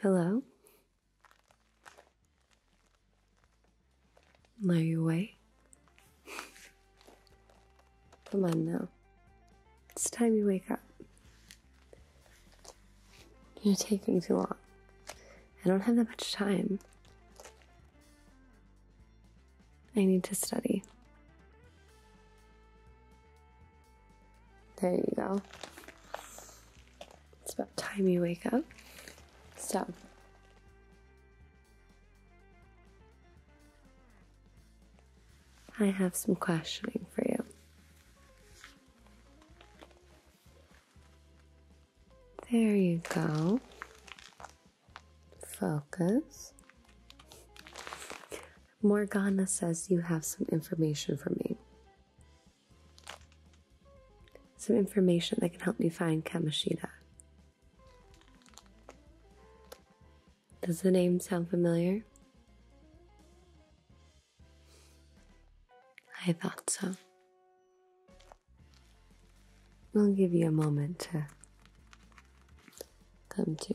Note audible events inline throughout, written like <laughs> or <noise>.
Hello. Are you awake? Come on now. It's time you wake up. You're taking too long. I don't have that much time. I need to study. There you go. It's about time you wake up. So, I have some questioning for you. There you go. Focus. Morgana says you have some information for me. Some information that can help me find Kamishita. Does the name sound familiar? I thought so. i will give you a moment to come to.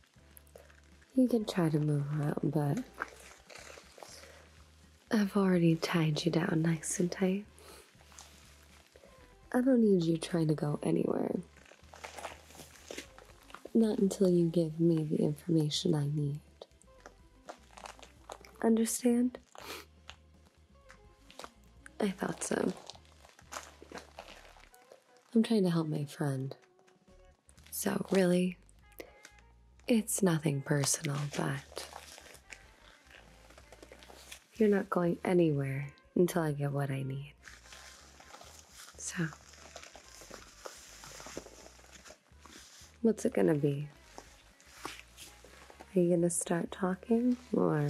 You can try to move out, but I've already tied you down nice and tight. I don't need you trying to go anywhere. Not until you give me the information I need. Understand? I thought so. I'm trying to help my friend. So, really, it's nothing personal, but you're not going anywhere until I get what I need. So, what's it gonna be? Are you gonna start talking or?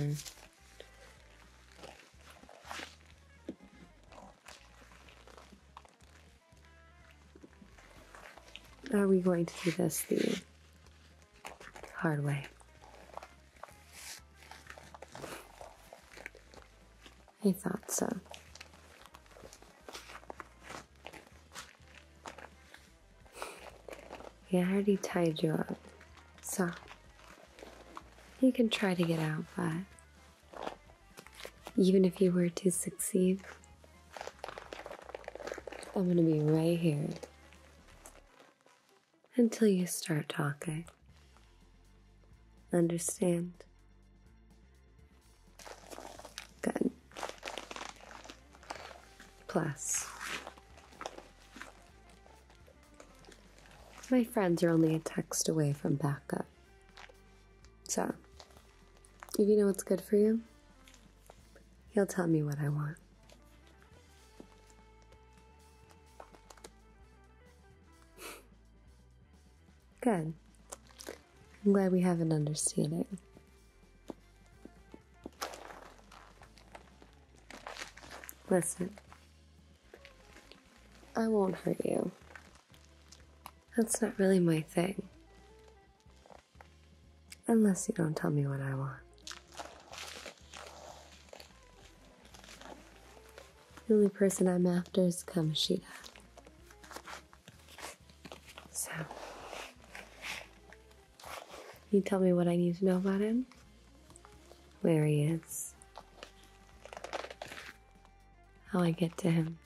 Are we going to do this the hard way? I thought so. He already tied you up, so you can try to get out, but even if you were to succeed, I'm going to be right here until you start talking. Understand? Good. Plus, my friends are only a text away from backup. So, if you know what's good for you, he'll tell me what I want. <laughs> Good. I'm glad we have an understanding. Listen, I won't hurt you that's not really my thing. Unless you don't tell me what I want. The only person I'm after is Kamoshida. So, you tell me what I need to know about him? Where he is, how I get to him.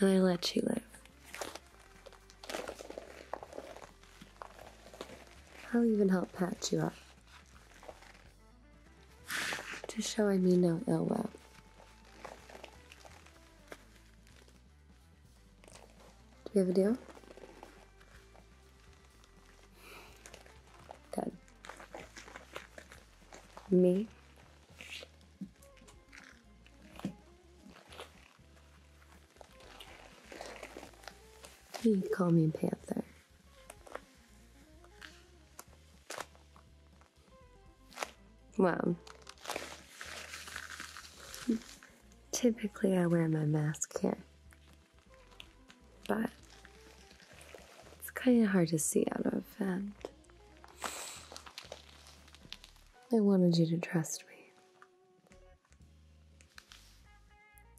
And I let you live. I'll even help patch you up to show I mean no ill will. Do we have a deal? Good me. You call me Panther. Wow. Typically, I wear my mask here but it's kind of hard to see out of, and I wanted you to trust me.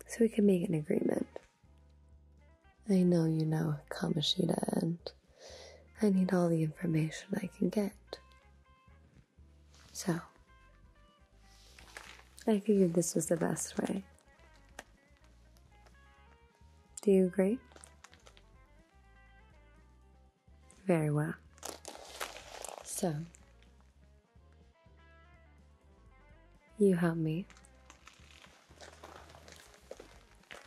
So we can make an agreement. I know you know Kamishita, and I need all the information I can get. So, I figured this was the best way. Do you agree? Very well. So, you help me,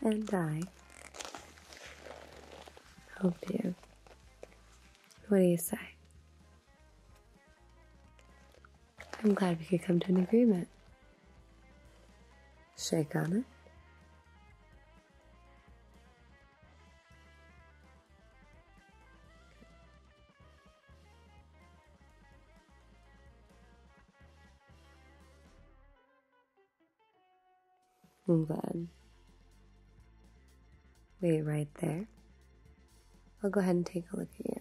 and I help you. What do you say? I'm glad we could come to an agreement. Shake on it. I'm glad. Wait right there. I'll go ahead and take a look at you.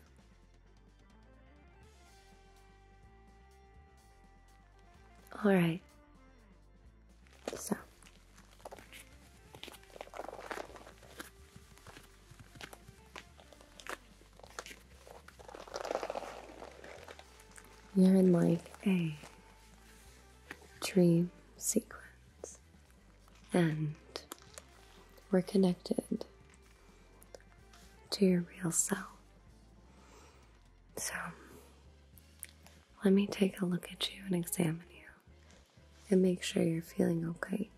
All right. So. You're in like a dream sequence, and we're connected to your real self. So, let me take a look at you and examine you and make sure you're feeling okay.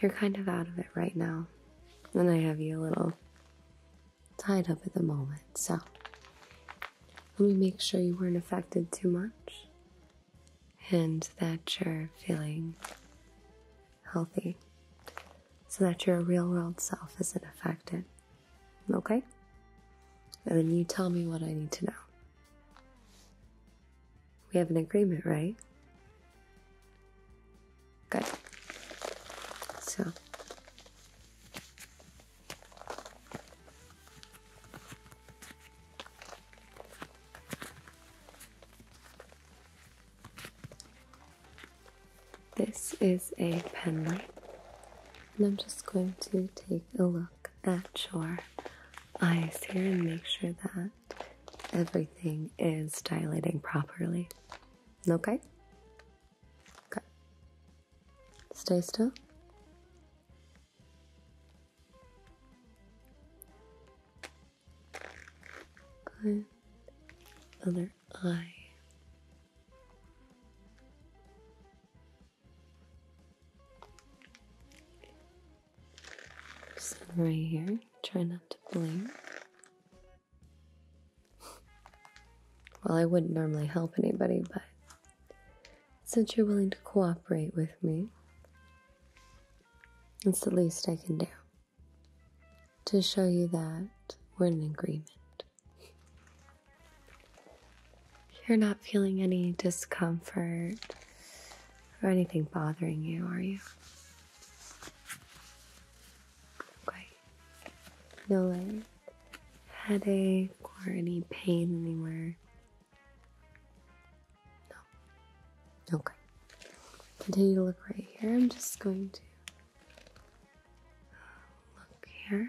You're kind of out of it right now, and I have you a little tied up at the moment, so let me make sure you weren't affected too much and that you're feeling healthy so that your real world self isn't affected. Okay? And then you tell me what I need to know. We have an agreement, right? Good. So. This is a penlight, and I'm just going to take a look at your eyes here and make sure that everything is dilating properly. Okay? Okay. Stay still. Good. Other eye. right here. Try not to blink. well, I wouldn't normally help anybody, but since you're willing to cooperate with me, it's the least I can do to show you that we're in agreement. You're not feeling any discomfort or anything bothering you, are you? Okay. No like headache or any pain anywhere. Okay. Continue to look right here. I'm just going to look here.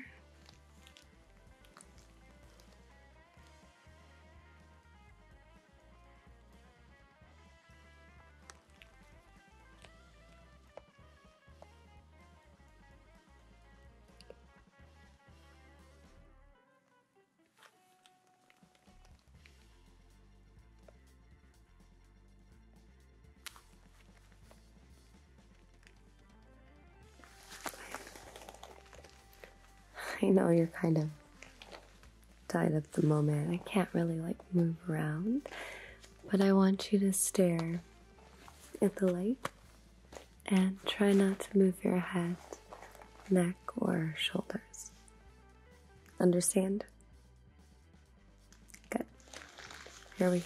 I know you're kind of tied at the moment. I can't really like move around, but I want you to stare at the light and try not to move your head, neck, or shoulders. Understand? Good. Here we go.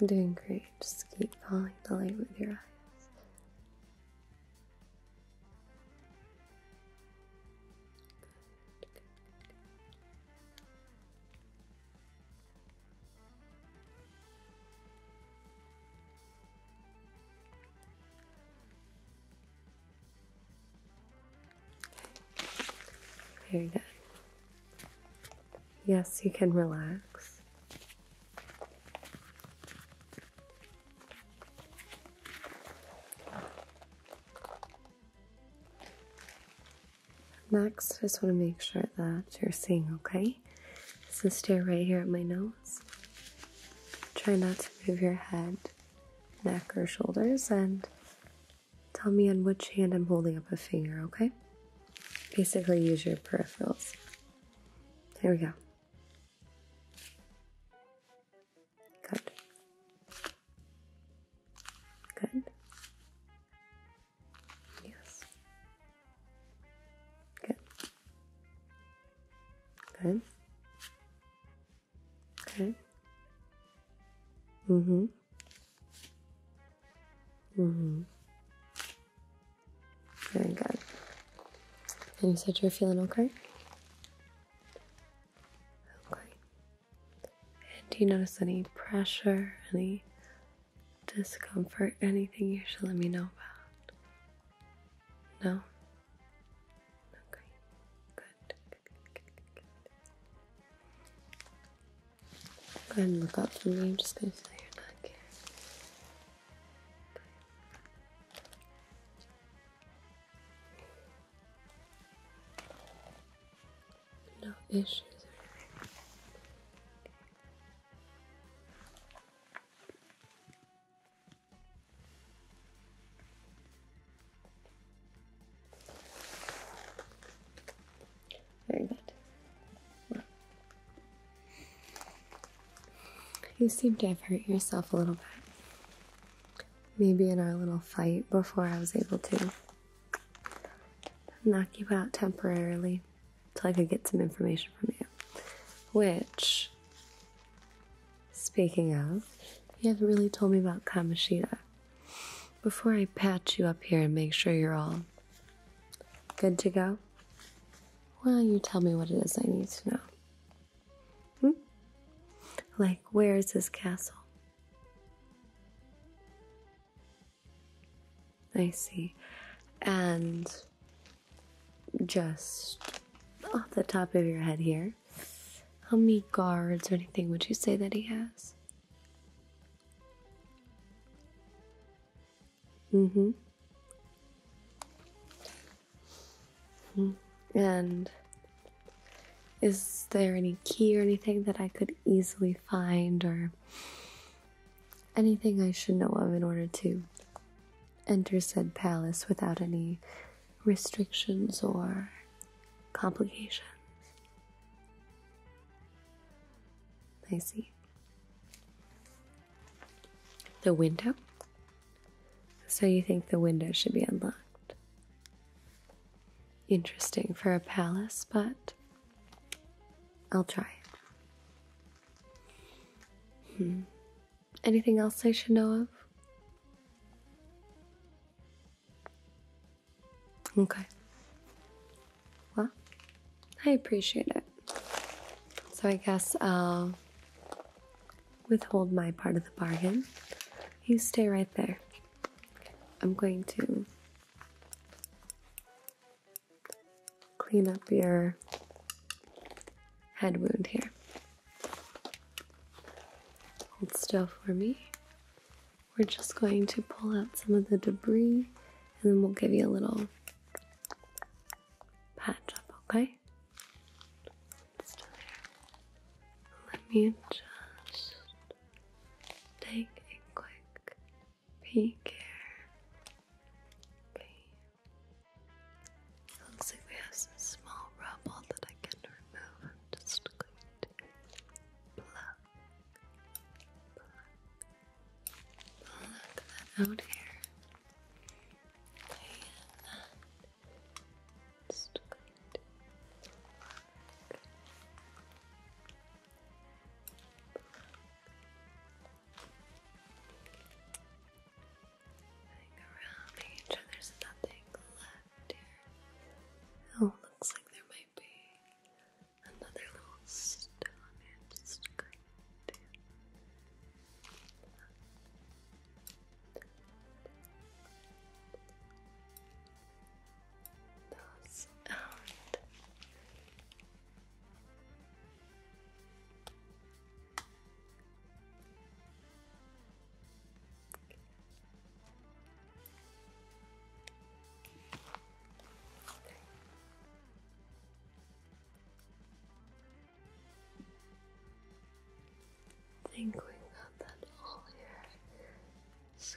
You're doing great. Just keep following the light with your eyes. Very good. Yes, you can relax. Next, I just want to make sure that you're seeing okay. So stare right here at my nose. Try not to move your head, neck, or shoulders, and tell me on which hand I'm holding up a finger, okay? Basically, use your peripherals. Here we go. Good. Good. Yes. Good. Good. Okay. Mm-hmm. Mm-hmm. Very good. And you said you're feeling okay? Okay. And do you notice any pressure, any discomfort, anything you should let me know about? No? Okay, good. Good, good, good. Go ahead and look up for me. I'm just going to feel your neck here no issues or Very good. Well, you seem to have hurt yourself a little bit. Maybe in our little fight before I was able to knock you out temporarily till I could get some information from you. Which, speaking of, you haven't really told me about Kamoshida. Before I patch you up here and make sure you're all good to go, well, you tell me what it is I need to know? Hmm? Like, where is this castle? I see. And just off the top of your head here, how many guards or anything would you say that he has? Mm hmm. And is there any key or anything that I could easily find or anything I should know of in order to enter said palace without any restrictions or complications. I see. The window? So you think the window should be unlocked? Interesting for a palace, but I'll try Hmm. Anything else I should know of? Okay. Well, I appreciate it. So I guess I'll withhold my part of the bargain. You stay right there. I'm going to clean up your head wound here. Hold still for me. We're just going to pull out some of the debris and then we'll give you a little patch up, okay? Let me just take a quick be careful. Looks like we have some small rubble that I can remove. I'm just going to pluck, pluck, that out here. Okay, and just going to there's nothing left here. Oh, looks like there might be another little stone here. Just going to. Those out. I think we got that all here. It's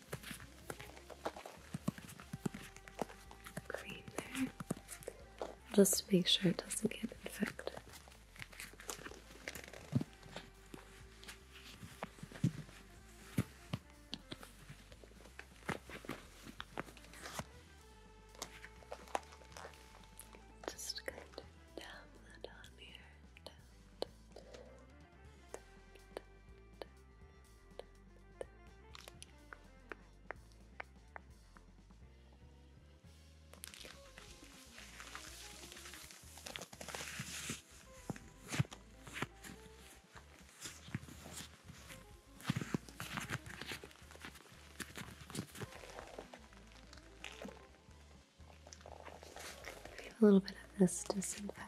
just to make sure it doesn't get infected. Just kind of down that on here. A little bit of this to see disinfectant.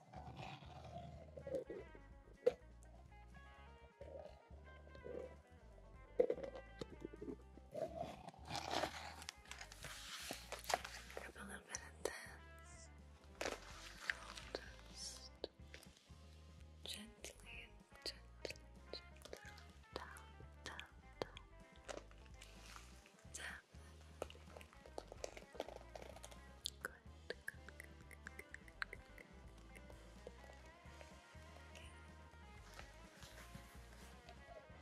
I'm a little bit intense. Just gently, gently, gently down, down, down. Tap. Good. Good, good, good, good, good, good, good,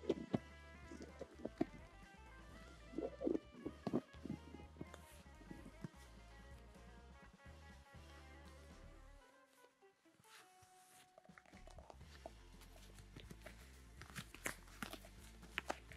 good. Okay. Okay.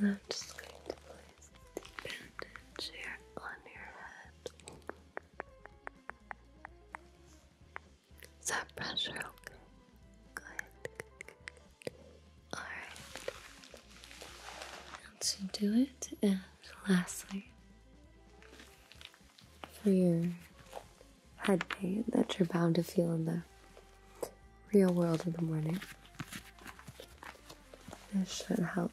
And I'm just going to place the bandage here on your head. that pressure okay? Good. Alright. And to do it, and lastly, for your head pain that you're bound to feel in the real world in the morning, this should help.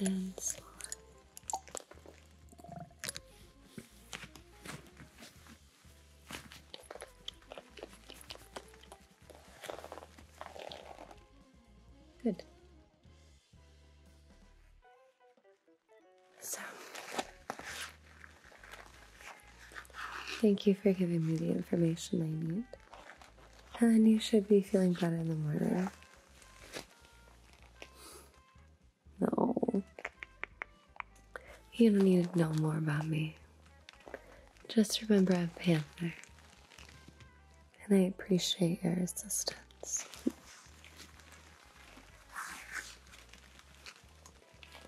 and slower. Good. So, thank you for giving me the information I need. And you should be feeling better in the morning. No. You don't need to know more about me. Just remember I'm Panther. And I appreciate your assistance.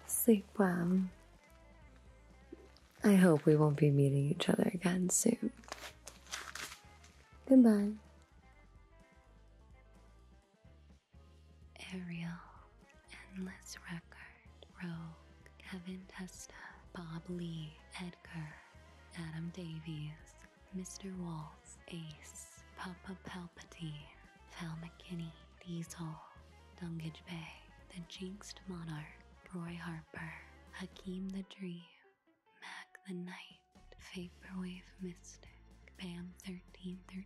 Sleep well. I hope we won't be meeting each other again soon. Goodbye. Ariel, Endless Record, Rogue, Kevin Testa, Bob Lee, Edgar, Adam Davies, Mr. Waltz, Ace, Papa Palpatine, Val McKinney, Diesel, Dungage Bay, The Jinxed Monarch, Roy Harper, Hakeem the Dream, Mac the Knight, Vaporwave Mystic, Bam 1313,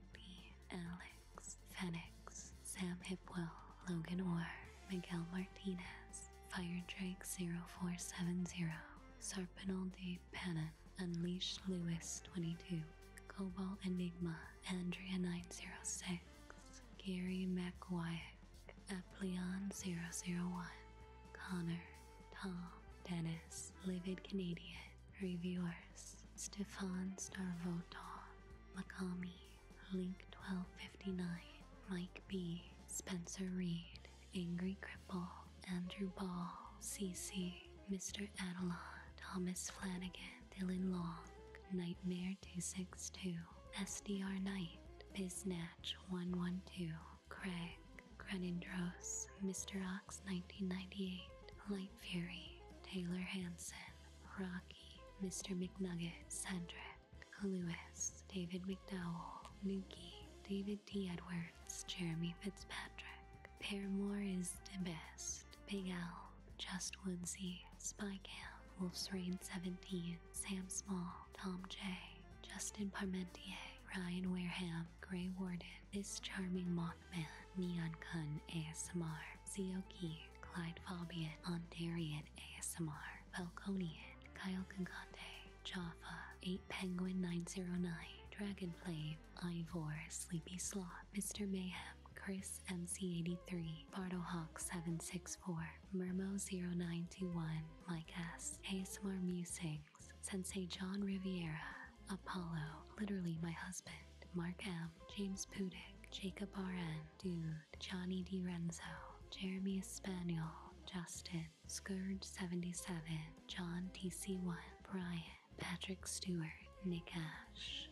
Alex, Fenix, Sam Hipwell, Logan Orr, Miguel Martinez, Fire Drake 0470, Sarpinal de Pannon, Unleashed, Lewis 22, Cobalt Enigma, Andrea 906, Gary McWyack, Apleon 001, Connor, Tom Dennis, Livid Canadian, Reviewers, Stefan Starvoto, Macami, Link1259, Mike B, Spencer Reed, Angry Cripple, Andrew Ball, CC, Mr. Adelon, Thomas Flanagan, Dylan Long, Nightmare262, SDR Knight, Biznatch112, Craig, Crenindros, Mr. Ox 1998, Light Fury, Taylor Hanson, Rocky, Mr. McNugget, Cedric, Lewis, David McDowell, Nuki, David D. Edwards, Jeremy Fitzpatrick, Paramore is the best, Big Al, Just Woodsy, Spy Cam, Wolf's Rain 17, Sam Small, Tom J, Justin Parmentier, Ryan Wareham, Grey Warden, This Charming Mothman, Neon Kun ASMR, Zioki, Clyde Fabian, Ondarian ASMR, Falconian, Kyle Kankate, Jaffa, 8 Penguin 909, Dragonflame, Ivor, Sleepy Sloth, Mr. Mayhem, Chris MC83, BartleHawk764, murmo 921 Mike S, ASMR Music, Sensei John Riviera, Apollo, literally my husband, Mark M, James Pudick, Jacob RN, Dude, Johnny D Renzo, Jeremy Espanol, Justin, Scourge77, John TC1, Brian, Patrick Stewart, Nikash.